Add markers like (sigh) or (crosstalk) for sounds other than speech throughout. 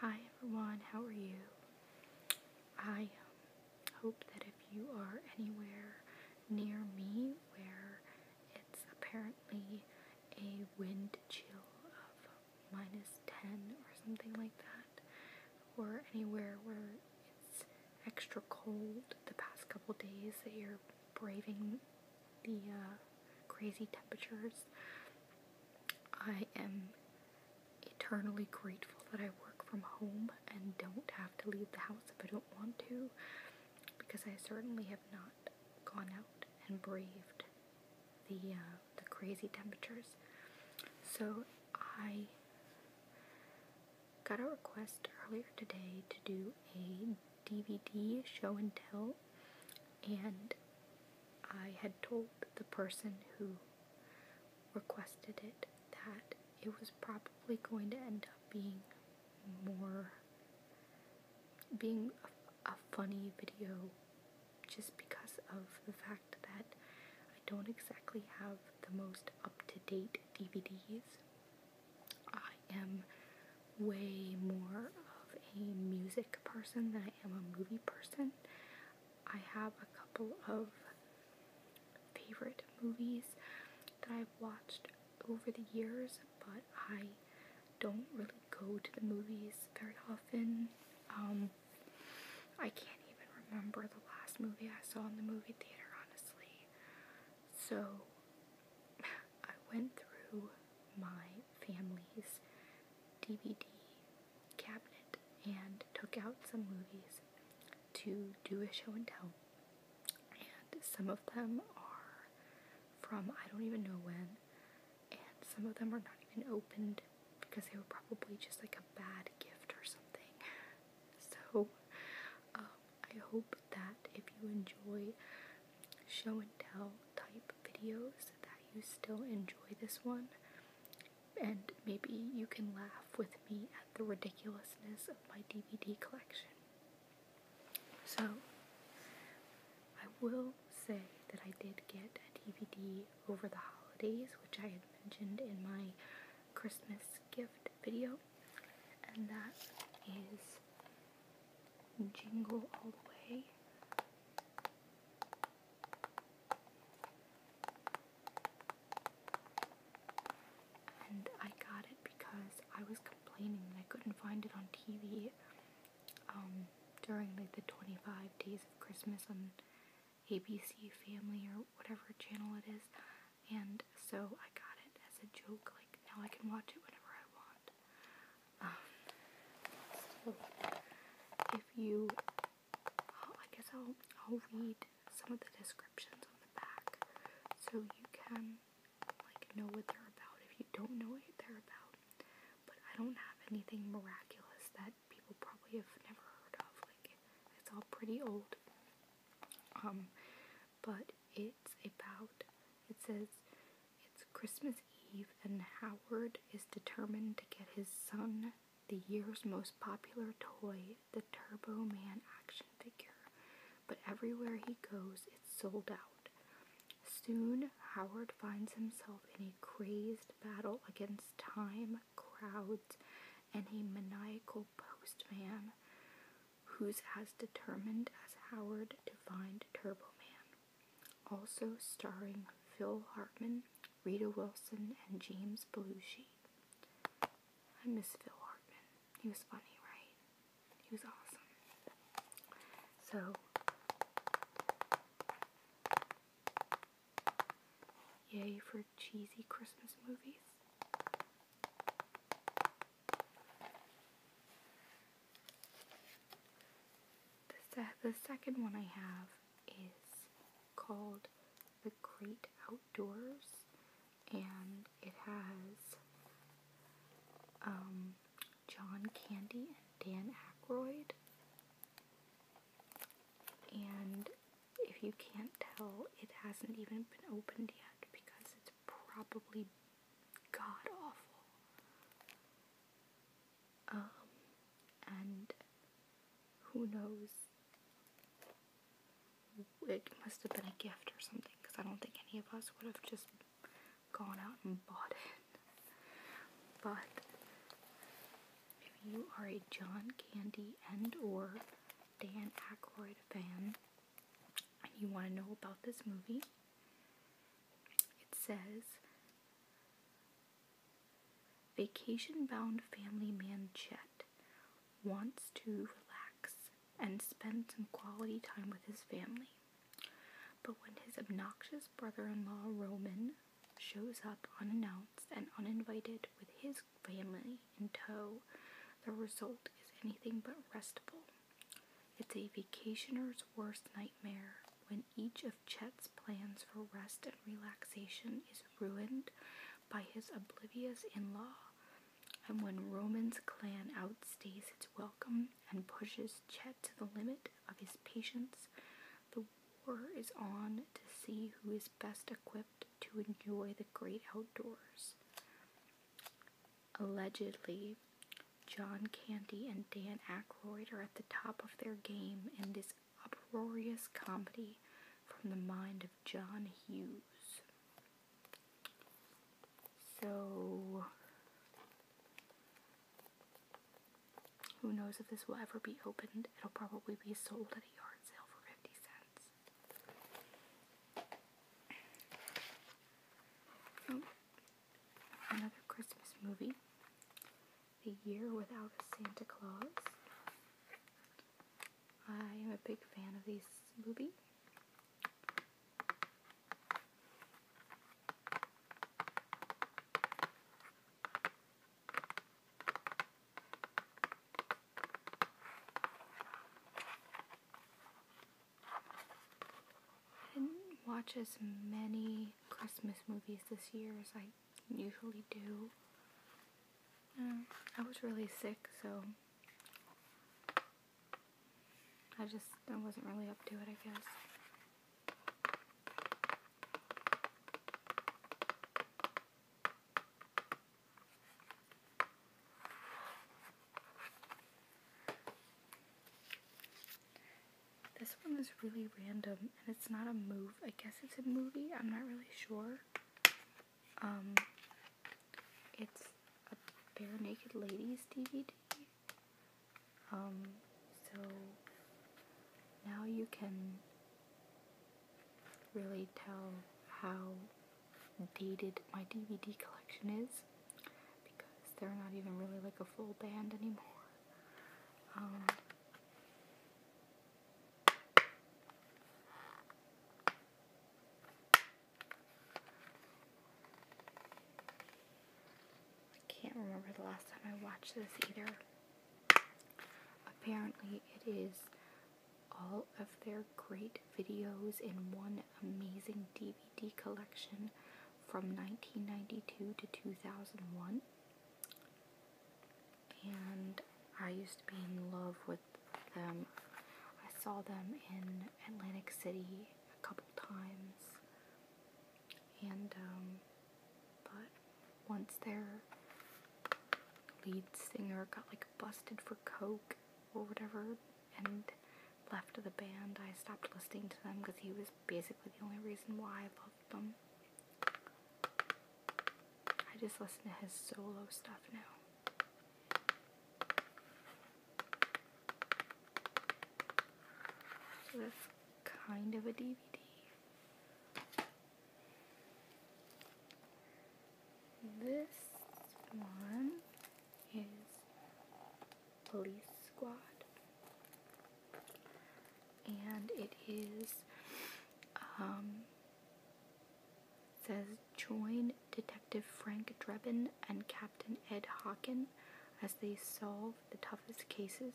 Hi everyone, how are you? I um, hope that if you are anywhere near me where it's apparently a wind chill of minus 10 or something like that, or anywhere where it's extra cold the past couple days that you're braving the uh, crazy temperatures. I am eternally grateful that I work from home and don't have to leave the house if I don't want to, because I certainly have not gone out and braved the uh, the crazy temperatures. So I got a request earlier today to do a DVD show and tell, and I had told the person who requested it that it was probably going to end up being more being a, funny video just because of the fact that I don't exactly have the most up to date DVDs. I am way more of a music person than I am a movie person. I have a couple of favorite movies that I've watched over the years, but I don't really go to the movies very often. Um, I can't even remember the last movie I saw in the movie theater, honestly. So, (laughs) I went through my family's DVD cabinet and took out some movies to do a show and tell. And some of them are from I don't even know when, and some of them are not even opened because they were probably just like a bad gift or something. (laughs) So um, I hope that if you enjoy show and tell type videos that you still enjoy this one and maybe you can laugh with me at the ridiculousness of my DVD collection. So, I will say that I did get a DVD over the holidays, which I had mentioned in my Christmas gift video, and that is jingle all the way. And I got it because I was complaining that I couldn't find it on TV um, during like the 25 days of Christmas on ABC Family or whatever channel it is. And so I got it as a joke, like now I can watch it whenever I want. Um, if you, oh, I guess I'll I'll read some of the descriptions on the back, so you can like know what they're about. If you don't know what they're about, but I don't have anything miraculous that people probably have never heard of. Like it's all pretty old. Um, but it's about. It says it's Christmas Eve, and Howard is determined to get his son the year's most popular toy, the Turbo Man action figure. But everywhere he goes, it's sold out. Soon, Howard finds himself in a crazed battle against time, crowds, and a maniacal postman who's as determined as Howard to find Turbo Man also starring Phil Hartman, Rita Wilson, and James Belushi. I miss Phil Hartman. He was funny, right? He was awesome. So, yay for cheesy Christmas movies. The, the second one I have is called The Great Outdoors, and it has um, John Candy and Dan Aykroyd. And if you can't tell, it hasn't even been opened yet because it's probably god awful. Um, and who knows? It must have been a gift or something because I don't think any of us would have just gone out and bought it. But if you are a John Candy and or Dan Aykroyd fan and you want to know about this movie, it says Vacation bound family man Chet wants to relax and spend some quality time with his family. But when his obnoxious brother in law Roman shows up unannounced and uninvited with his family in tow, the result is anything but restful. It's a vacationer's worst nightmare when each of Chet's plans for rest and relaxation is ruined by his oblivious in law, and when Roman's clan outstays its welcome and pushes Chet to the limit of his patience, the war is on to see who is best equipped to enjoy the great outdoors. Allegedly, John Candy and Dan Aykroyd are at the top of their game in this uproarious comedy from the mind of John Hughes. So, who knows if this will ever be opened? It'll probably be sold at a yard sale for 50 cents. Oh, another Christmas movie, The Year Without a Santa Claus. I am a big fan of these movie. I didn't watch as many Christmas movies this year as I usually do. Mm, I was really sick, so I just I wasn't really up to it, I guess. This one is really random and it's not a move. I guess it's a movie. I'm not really sure. Um, it's a Bare Naked Ladies DVD. Um, so now you can really tell how dated my DVD collection is because they're not even really like a full band anymore. Um, I can't remember the last time I watched this either. Apparently, it is all of their great videos in one amazing DVD. De collection from 1992 to 2001. And I used to be in love with them. I saw them in Atlantic City a couple times. And, um, but once their lead singer got like busted for coke or whatever and left the band, I stopped listening to them because he was basically the only reason why I loved them. I just listen to his solo stuff now. So kind of a DVD. This one is police squad. And it is, um, says join Detective Frank Drebin and Captain Ed Hawken as they solve the toughest cases,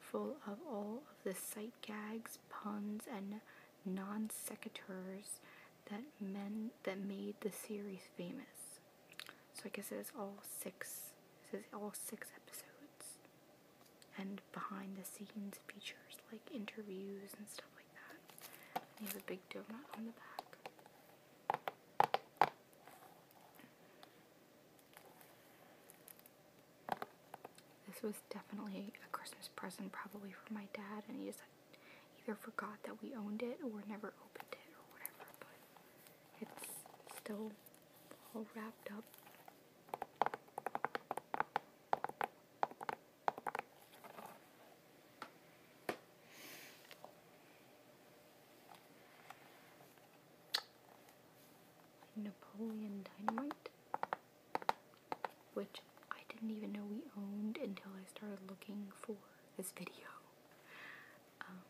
full of all of the sight gags, puns, and non sequiturs that men that made the series famous. So I guess it is all six. It is all six episodes, and behind the scenes features like interviews and stuff like that. And you have a big donut on the back. This was definitely a Christmas present, probably for my dad, and he just either forgot that we owned it or never opened it or whatever. But it's still all wrapped up. Napoleon Dynamite, which I didn't even know we owned until I started looking for this video. Um,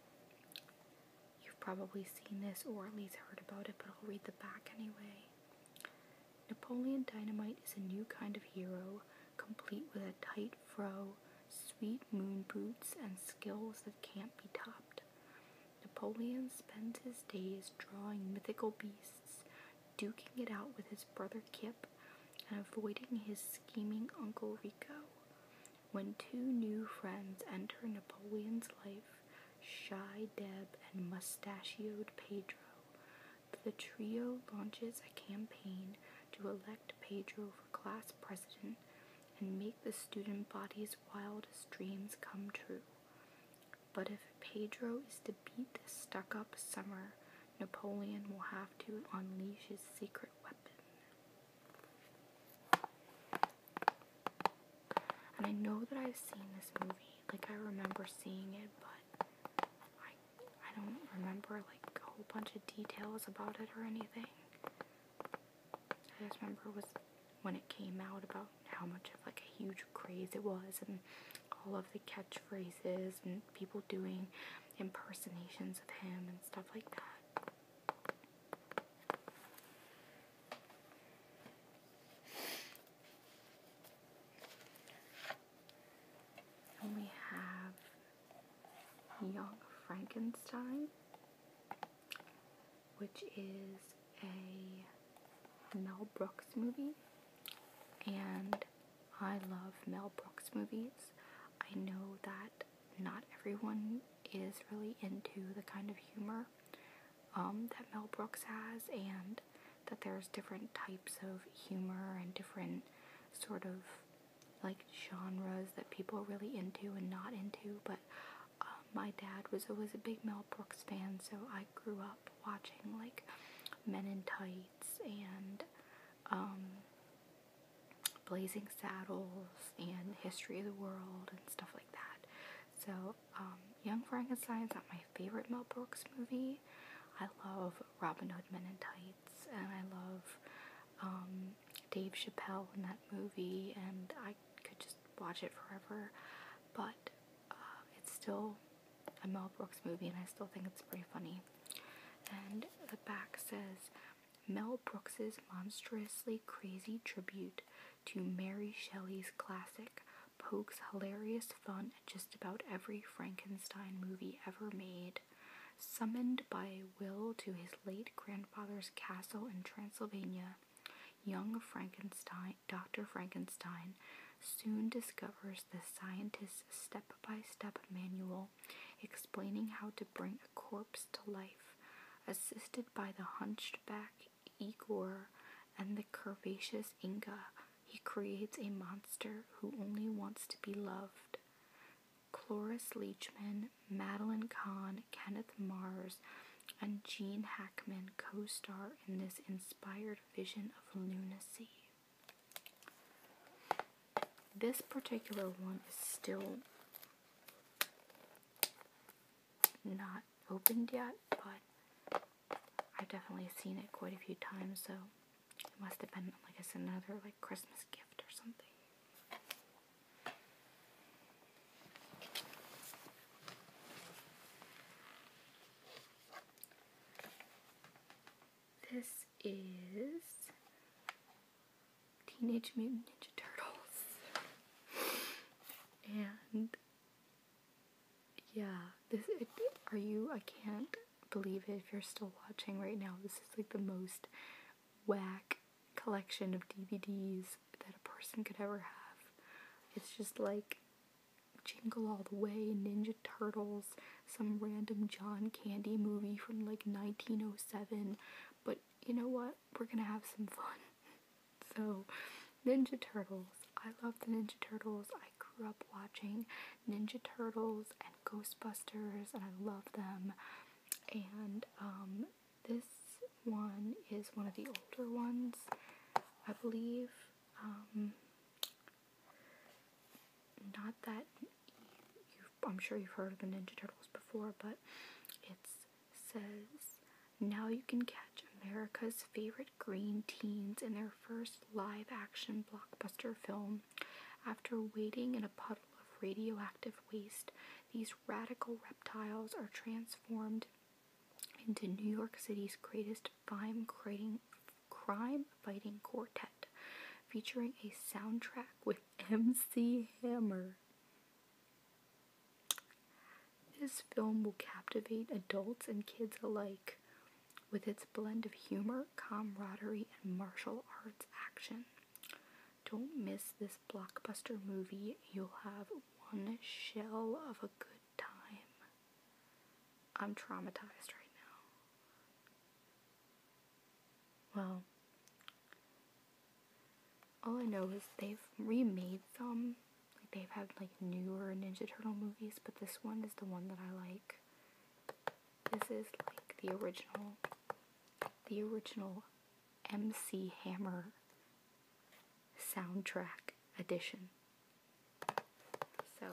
you've probably seen this or at least heard about it, but I'll read the back anyway. Napoleon Dynamite is a new kind of hero, complete with a tight fro, sweet moon boots, and skills that can't be topped. Napoleon spends his days drawing mythical beasts, duking it out with his brother Kip, and avoiding his scheming Uncle Rico. When two new friends enter Napoleon's life, Shy Deb and mustachioed Pedro, the trio launches a campaign to elect Pedro for class president and make the student body's wildest dreams come true. But if Pedro is to beat the stuck up summer, Napoleon will have to unleash his secret weapon. And I know that I've seen this movie. Like I remember seeing it, but I I don't remember like a whole bunch of details about it or anything. I just remember it was when it came out about how much of like a huge craze it was and all of the catchphrases and people doing impersonations of him stuff like that. we have Young Frankenstein, which is a Mel Brooks movie, and I love Mel Brooks movies. I know that not everyone is really into the kind of humor um, that Mel Brooks has, and that there's different types of humor and different sort of like genres that people are really into and not into. But uh, my dad was always a big Mel Brooks fan, so I grew up watching like Men in Tights and um, Blazing Saddles and History of the World and stuff like that. So, um, Young Frankenstein is not my favorite Mel Brooks movie. I love Robin Hood Men in Tights and I love um, Dave Chappelle in that movie and I could just watch it forever. But uh, it's still a Mel Brooks movie and I still think it's pretty funny. And the back says, Mel Brooks's monstrously crazy tribute to Mary Shelley's classic pokes hilarious fun at just about every Frankenstein movie ever made. Summoned by a will to his late grandfather's castle in Transylvania, young Frankenstein, Dr. Frankenstein, soon discovers the scientist's step by step manual explaining how to bring a corpse to life, assisted by the hunchback Igor and the curvaceous Inga. He creates a monster who only wants to be loved. Cloris Leachman, Madeline Kahn, Kenneth Mars, and Jean Hackman co star in this inspired vision of lunacy. This particular one is still not opened yet, but I've definitely seen it quite a few times, so it must have been, like I said, another like Christmas gift or something. This is Teenage Mutant Ninja Turtles. (laughs) and yeah, this are you? I can't believe it if you're still watching right now. This is like the most whack collection of DVDs that a person could ever have. It's just like Jingle All the Way, Ninja Turtles, some random John Candy movie from like 1907. But you know what? We're gonna have some fun. (laughs) so, Ninja Turtles. I love the Ninja Turtles. I grew up watching Ninja Turtles and Ghostbusters, and I love them. And um, this one is one of the older ones, I believe. Um, not that I'm sure you've heard of the Ninja Turtles before, but it says now you can catch America's favorite green teens in their first live action blockbuster film. After waiting in a puddle of radioactive waste, these radical reptiles are transformed into New York City's greatest crime creating crime fighting quartet featuring a soundtrack with (laughs) MC Hammer. This film will captivate adults and kids alike with its blend of humor, camaraderie, and martial arts action. Don't miss this blockbuster movie. You'll have one shell of a good time. I'm traumatized right now. Well, all I know is they've remade some. Like they've had like newer Ninja Turtle movies, but this one is the one that I like. This is like the original, the original MC Hammer soundtrack edition. So,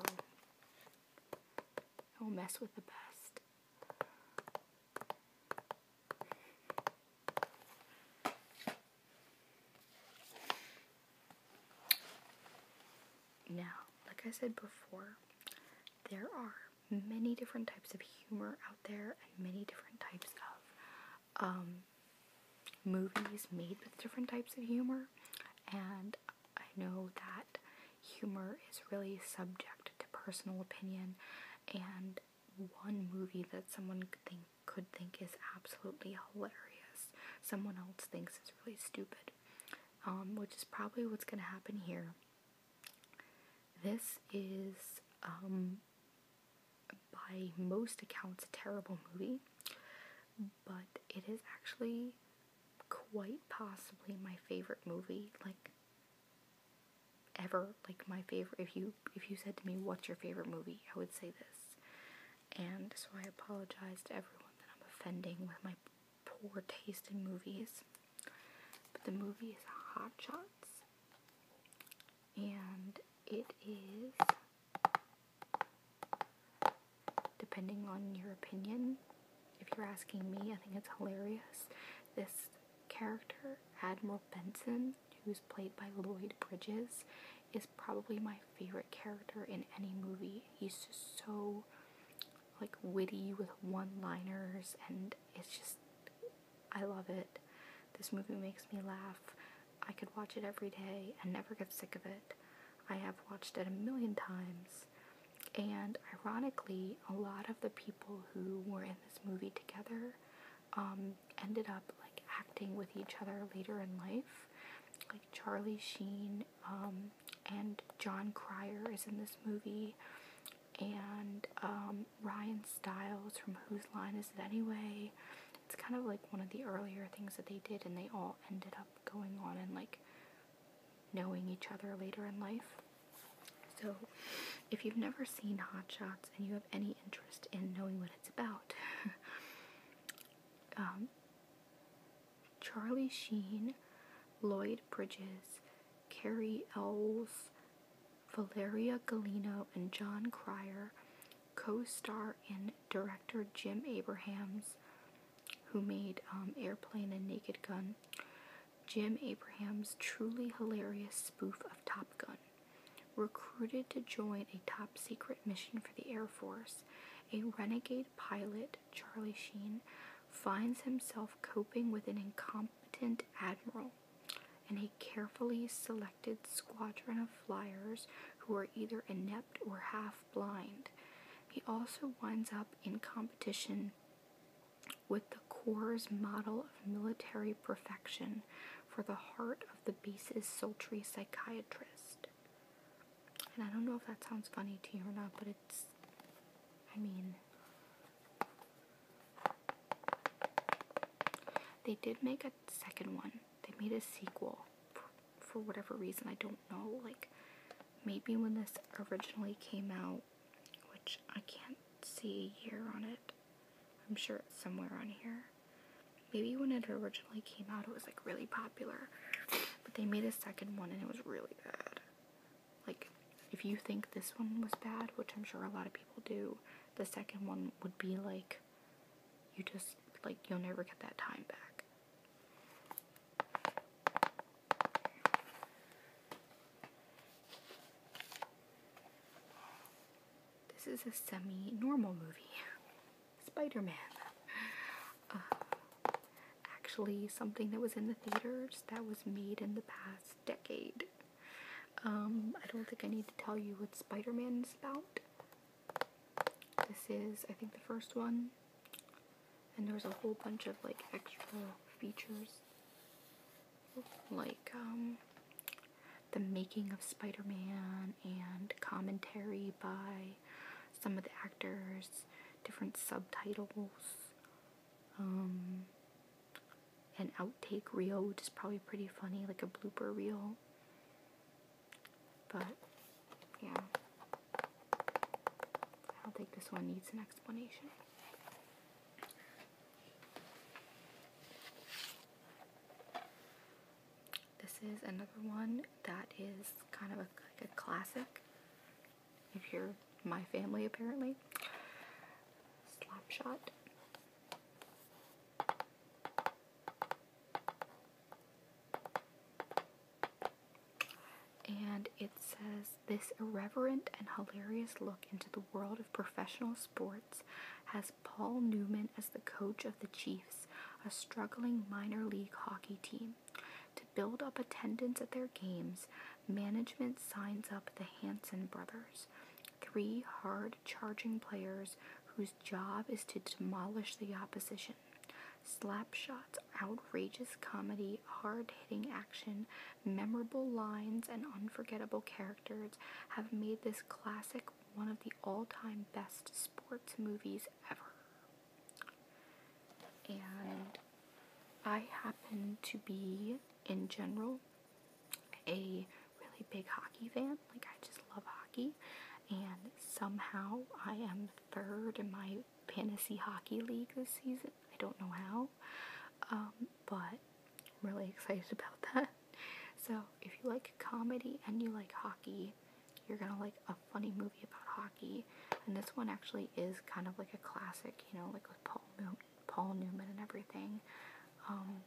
don't mess with the best. Now, like I said before, there are many different types of humor out there and many different types of um, movies made with different types of humor. And I know that humor is really subject to personal opinion, and one movie that someone could think could think is absolutely hilarious, someone else thinks is really stupid, um, which is probably what's going to happen here. This is, um, by most accounts, a terrible movie, but it is actually quite possibly my favorite movie, like ever. Like my favorite. If you if you said to me, "What's your favorite movie?" I would say this. And so I apologize to everyone that I'm offending with my poor taste in movies. But the movie is Hot Shots, and it is depending on your opinion. If you're asking me, I think it's hilarious. This character, Admiral Benson, who's played by Lloyd Bridges, is probably my favorite character in any movie. He's just so like witty with one-liners and it's just I love it. This movie makes me laugh. I could watch it every day and never get sick of it. I have watched it a million times. And ironically, a lot of the people who were in this movie together um, ended up like acting with each other later in life. Like Charlie Sheen um, and John Cryer is in this movie, and um, Ryan Stiles from Whose Line Is It Anyway? It's kind of like one of the earlier things that they did, and they all ended up going on and like knowing each other later in life. So, if you've never seen Hot Shots and you have any interest in knowing what it's about, (laughs) um, Charlie Sheen, Lloyd Bridges, Carrie Ells, Valeria Galino, and John Cryer, co star and director Jim Abrahams, who made um, Airplane and Naked Gun, Jim Abraham's truly hilarious spoof of Top Gun. Recruited to join a top secret mission for the Air Force, a renegade pilot, Charlie Sheen, finds himself coping with an incompetent admiral and a carefully selected squadron of flyers who are either inept or half blind. He also winds up in competition with the Corps' model of military perfection for the heart of the beast is sultry psychiatrist. And I don't know if that sounds funny to you or not, but it's. I mean. They did make a second one. They made a sequel. for whatever reason, I don't know. Like, maybe when this originally came out, which I can't see a year on it. I'm sure it's somewhere on here. Maybe when it originally came out, it was like really popular. But they made a second one and it was really bad. Like, if you think this one was bad, which I'm sure a lot of people do, the second one would be like, you just, like, you'll never get that time back. This is a semi-normal movie. (laughs) Spider-Man. Uh, actually, something that was in the theaters that was made in the past decade. Um, I don't think I need to tell you what Spider-Man is about. This is, I think, the first one. And there's a whole bunch of like extra features, like um, the making of Spider-Man and commentary by some of the actors, different subtitles, um, an outtake reel, which is probably pretty funny, like a blooper reel. But yeah. I don't think this one needs an explanation. This is another one that is kind of a, like a classic. If you're my family, apparently. Slapshot. And it says this irreverent and hilarious look into the world of professional sports has Paul Newman as the coach of the Chiefs, a struggling minor league hockey team. To build up attendance at their games, management signs up the Hanson brothers, three hard charging players whose job is to demolish the opposition. Slapshot's outrageous comedy, hard hitting action, memorable lines, and unforgettable characters have made this classic one of the all time best sports movies ever. And I happen to be, in general, a really big hockey fan. Like, I just love hockey. And somehow I am third in my Fantasy Hockey League this season. I don't know how, um, but I'm really excited (laughs) about that. So, if you like comedy and you like hockey, you're gonna like a funny movie about hockey. And this one actually is kind of like a classic, you know, like with Paul Newman, Paul Newman and everything. Um,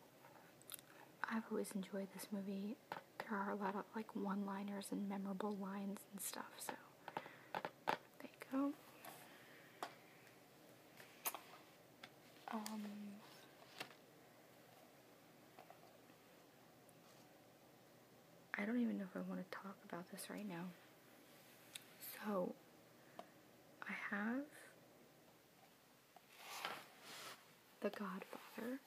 I've always enjoyed this movie. There are a lot of like one-liners and memorable lines and stuff. So there you go. Um, I don't even know if I want to talk about this right now. So I have The Godfather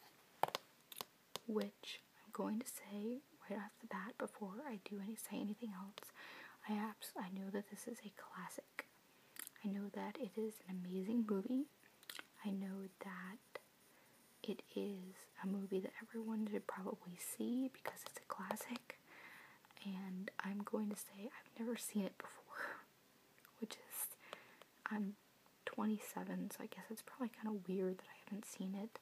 which I'm going to say right off the bat before I do any say anything else. I abs I know that this is a classic. I know that it is an amazing movie. I know that it is a movie that everyone should probably see because it's a classic. And I'm going to say I've never seen it before, (laughs) which is I'm 27, so I guess it's probably kind of weird that I haven't seen it.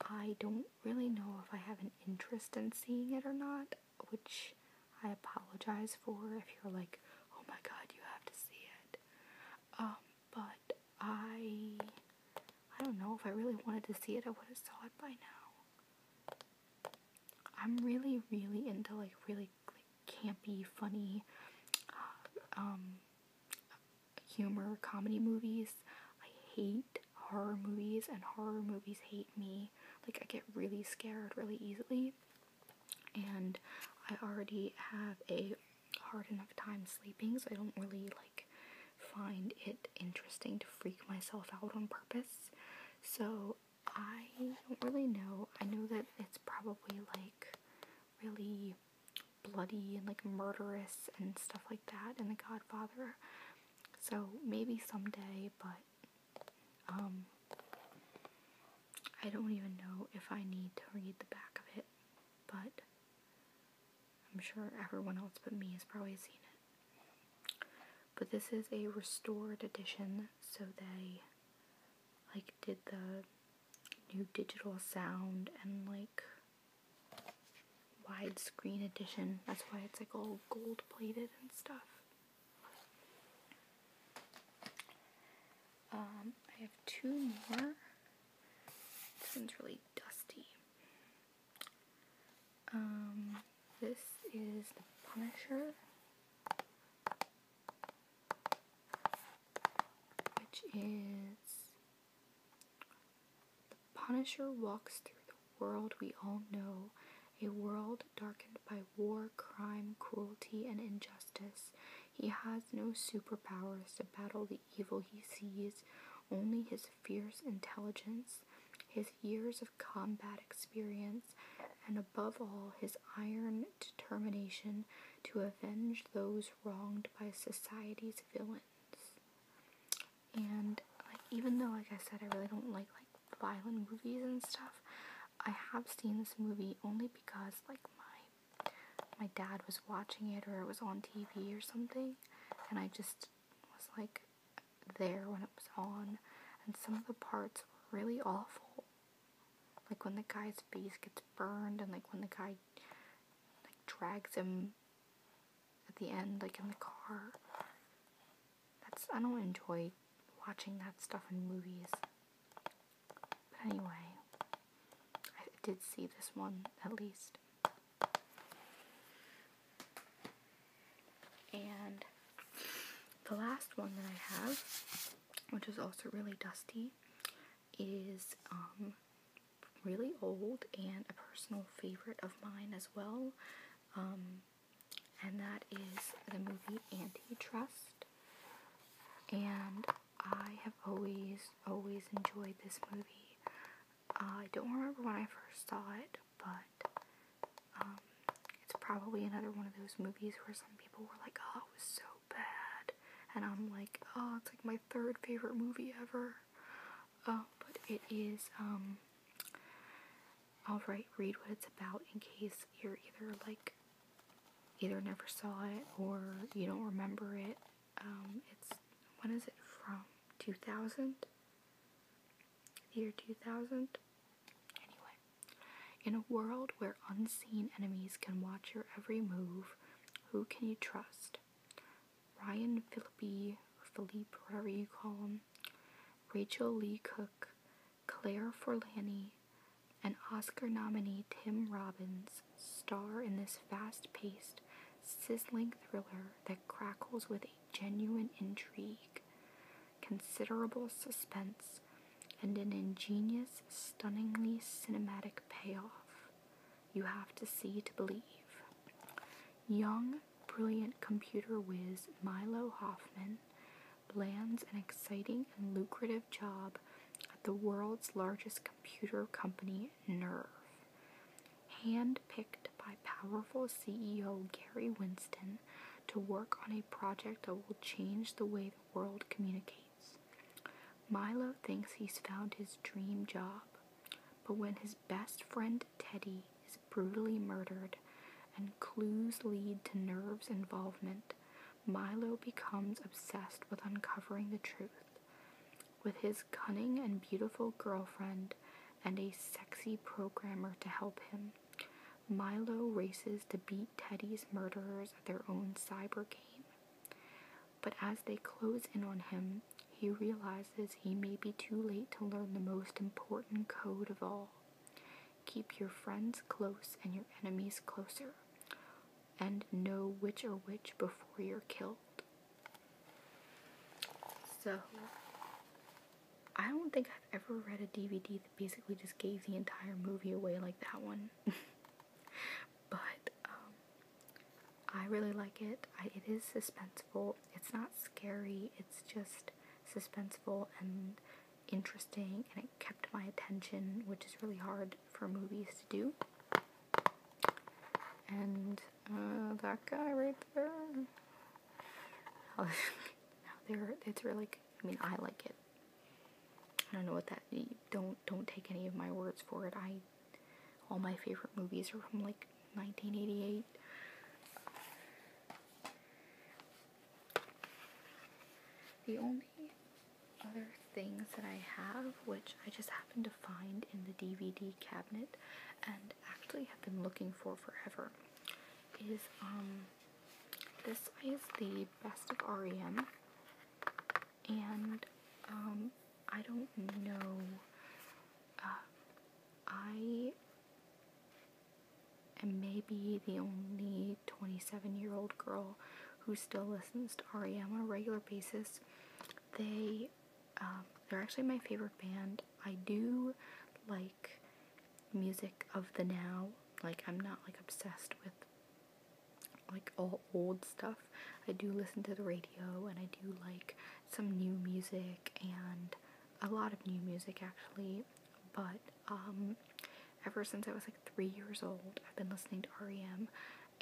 I don't really know if I have an interest in seeing it or not, which I apologize for if you're like, oh my god, you have to see it. Um, but I I don't know if I really wanted to see it, I would have saw it by now. I'm really, really into like really like, campy, funny, uh, um, humor comedy movies. I hate horror movies, and horror movies hate me. Like, I get really scared really easily, and I already have a hard enough time sleeping, so I don't really like find it interesting to freak myself out on purpose. So, I don't really know. I know that it's probably like really bloody and like murderous and stuff like that in The Godfather. So maybe someday, but um, I don't even know if I need to read the back of it, but I'm sure everyone else but me has probably seen it. But this is a restored edition, so they like did the new digital sound and like widescreen edition. That's why it's like all gold plated and stuff. Um, I have two more. This one's really dusty. Um, this is the Punisher, which is the Punisher walks through the world we all know, a world darkened by war, crime, cruelty, and injustice. He has no superpowers to battle the evil he sees, only his fierce intelligence, his years of combat experience, and above all, his iron determination to avenge those wronged by society's villains. And even though like I said I really don't like like violent movies and stuff, I have seen this movie only because like my my dad was watching it or it was on TV or something and I just was like there when it was on and some of the parts were really awful. Like when the guy's face gets burned and like when the guy like like drags him at the end, like in the car. That's I don't enjoy watching that stuff in movies. But anyway, I did see this one at least. And the last one that I have, which is also really dusty, is um really old and a personal favorite of mine as well. Um, and that is the movie Antitrust. And I have always, always enjoyed this movie. Uh, I don't remember when I first saw it, but um, it's probably another one of those movies where some people were like, oh, it was so bad. And I'm like, oh, it's like my third favorite movie ever. Oh, but it is, alright. Um, read what it's about in case you're either like, either never saw it or you don't remember it. Um, it's, when is it from? 2000? year 2000? Anyway. In a world where unseen enemies can watch your every move, who can you trust? Ryan Philippi, Philippe, whatever you call him, Rachel Lee Cook, Claire Forlani, and Oscar nominee Tim Robbins star in this fast paced, sizzling thriller that crackles with a genuine intrigue, considerable suspense, and an ingenious, stunningly cinematic payoff. You have to see to believe. Young, brilliant computer whiz Milo Hoffman lands an exciting and lucrative job at the world's largest computer company, Nerve. Handpicked by powerful CEO Gary Winston to work on a project that will change the way the world communicates. Milo thinks he's found his dream job, but when his best friend Teddy is brutally murdered and clues lead to Nerve's involvement, Milo becomes obsessed with uncovering the truth. With his cunning and beautiful girlfriend and a sexy programmer to help him, Milo races to beat Teddy's murderers at their own cyber game but as they close in on him, he realizes he may be too late to learn the most important code of all. Keep your friends close and your enemies closer, and know which are which before you're killed. So, I don't think I've ever read a DVD that basically just gave the entire movie away like that one. (laughs) but um, I really like it. it is suspenseful. It's not scary. It's just suspenseful and interesting, and it kept my attention, which is really hard for movies to do. And uh, that guy right there. How (laughs) there, it's really, I mean, I like it. I don't know what that don't don't take any of my words for it. I all my favorite movies are from like 1988. The only other things that I have, which I just happened to find in the DVD cabinet and actually have been looking for forever, is um this is the Best of REM and um, I don't know. Uh, I am maybe the only 27 year old girl who still listens to REM on a regular basis. They, um, they're actually my favorite band. I do like music of the now. Like, I'm not like obsessed with like all old stuff. I do listen to the radio and I do like some new music and a lot of new music actually, but um, ever since I was like three years old, I've been listening to REM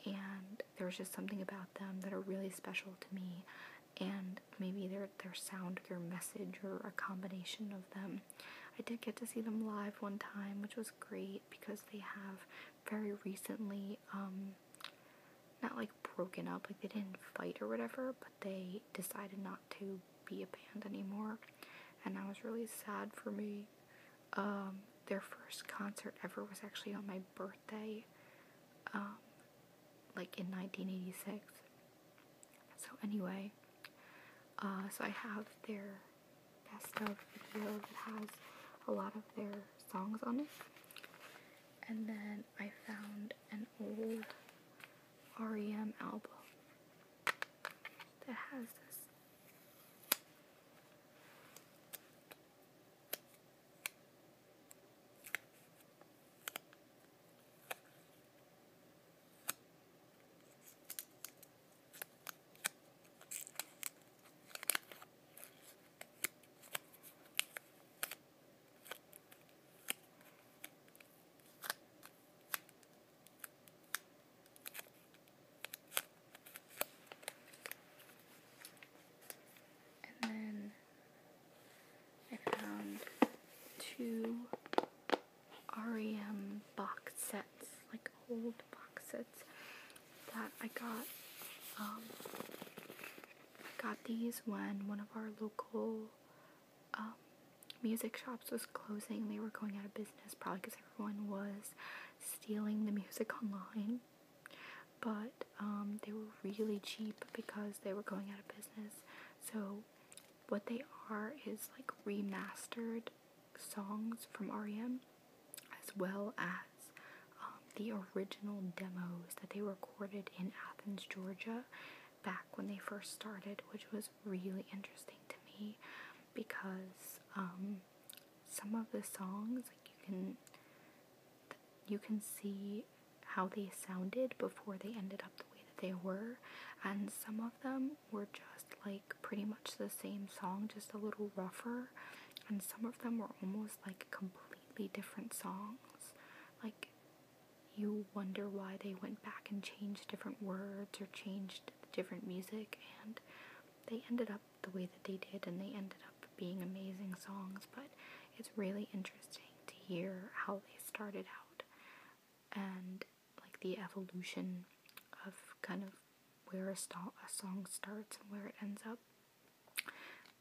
and there's just something about them that are really special to me and maybe their their sound, their message, or a combination of them. I did get to see them live one time, which was great because they have very recently, um, not like broken up, like they didn't fight or whatever, but they decided not to be a band anymore, and that was really sad for me. Um, their first concert ever was actually on my birthday, um, like in 1986. So, anyway, uh, so I have their best of video that has a lot of their songs on it. And then I found an old REM album that has this and then I found two REM box sets like old box sets that I got. Um, I got these when one of our local um, music shops was closing. They were going out of business, probably because everyone was stealing the music online. But um, they were really cheap because they were going out of business. So, what they are is like remastered songs from REM as well as um, the original demos that they recorded in Athens, Georgia, back when they first started, which was really interesting to me because um, some of the songs, like you can, you can see how they sounded before they ended up the way that they were, and some of them were just like pretty much the same song, just a little rougher, and some of them were almost like completely different songs. Like, you wonder why they went back and changed different words or changed different music, and they ended up the way that they did, and they ended up being amazing songs. But it's really interesting to hear how they started out and like the evolution of kind of where a, song starts and where it ends up.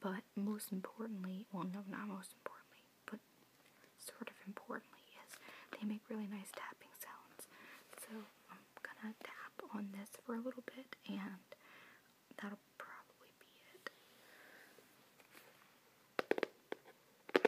But most importantly, well, no, not most importantly, but sort of importantly, is they make really nice tapping sounds. So I'm gonna tap on this for a little bit, and that'll probably be it.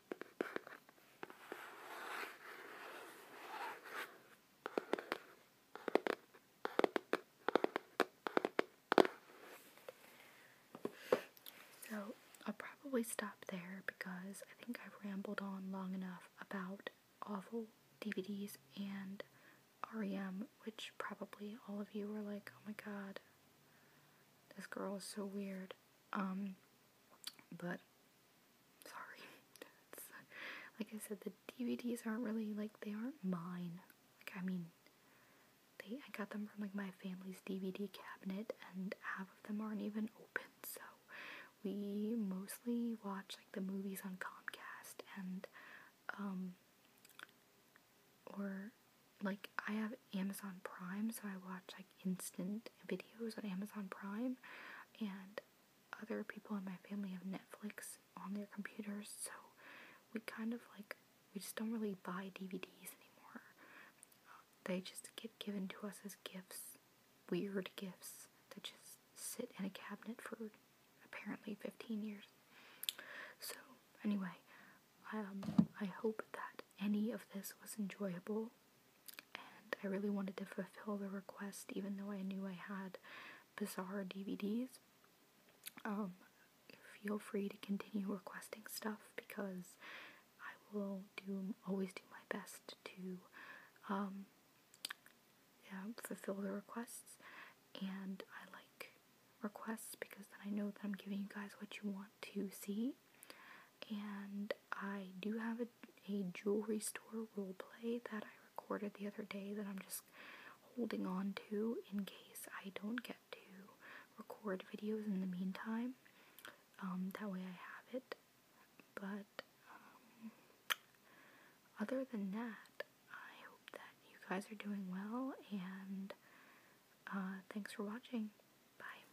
So I'll probably stop there because I think I've rambled on long enough about awful DVDs and REM, which probably all of you were like, oh my god, this girl is so weird. Um, but sorry, (laughs) like I said, the DVDs aren't really like they aren't mine. Like I mean, they I got them from like my family's DVD cabinet, and half of them aren't even open. So we mostly watch like the movies on Comcast and um or like I have Amazon Prime, so I watch like instant videos on Amazon Prime, and other people in my family have Netflix on their computers, so we kind of like we just don't really buy DVDs anymore. they just get given to us as gifts, weird gifts that just sit in a cabinet for apparently 15 years. So, anyway, um, I hope that any of this was enjoyable and I really wanted to fulfill the request even though I knew I had bizarre DVDs. Um, feel free to continue requesting stuff because I will do always do my best to um, fulfill the requests, and I like requests because then I know that I'm giving you guys what you want to see and I do have a, jewelry store role play that I recorded the other day that I'm just holding on to in case I don't get to record videos in the meantime. Um, that way I have it. But um, other than that, I hope that you guys are doing well and uh, thanks for watching. Bye.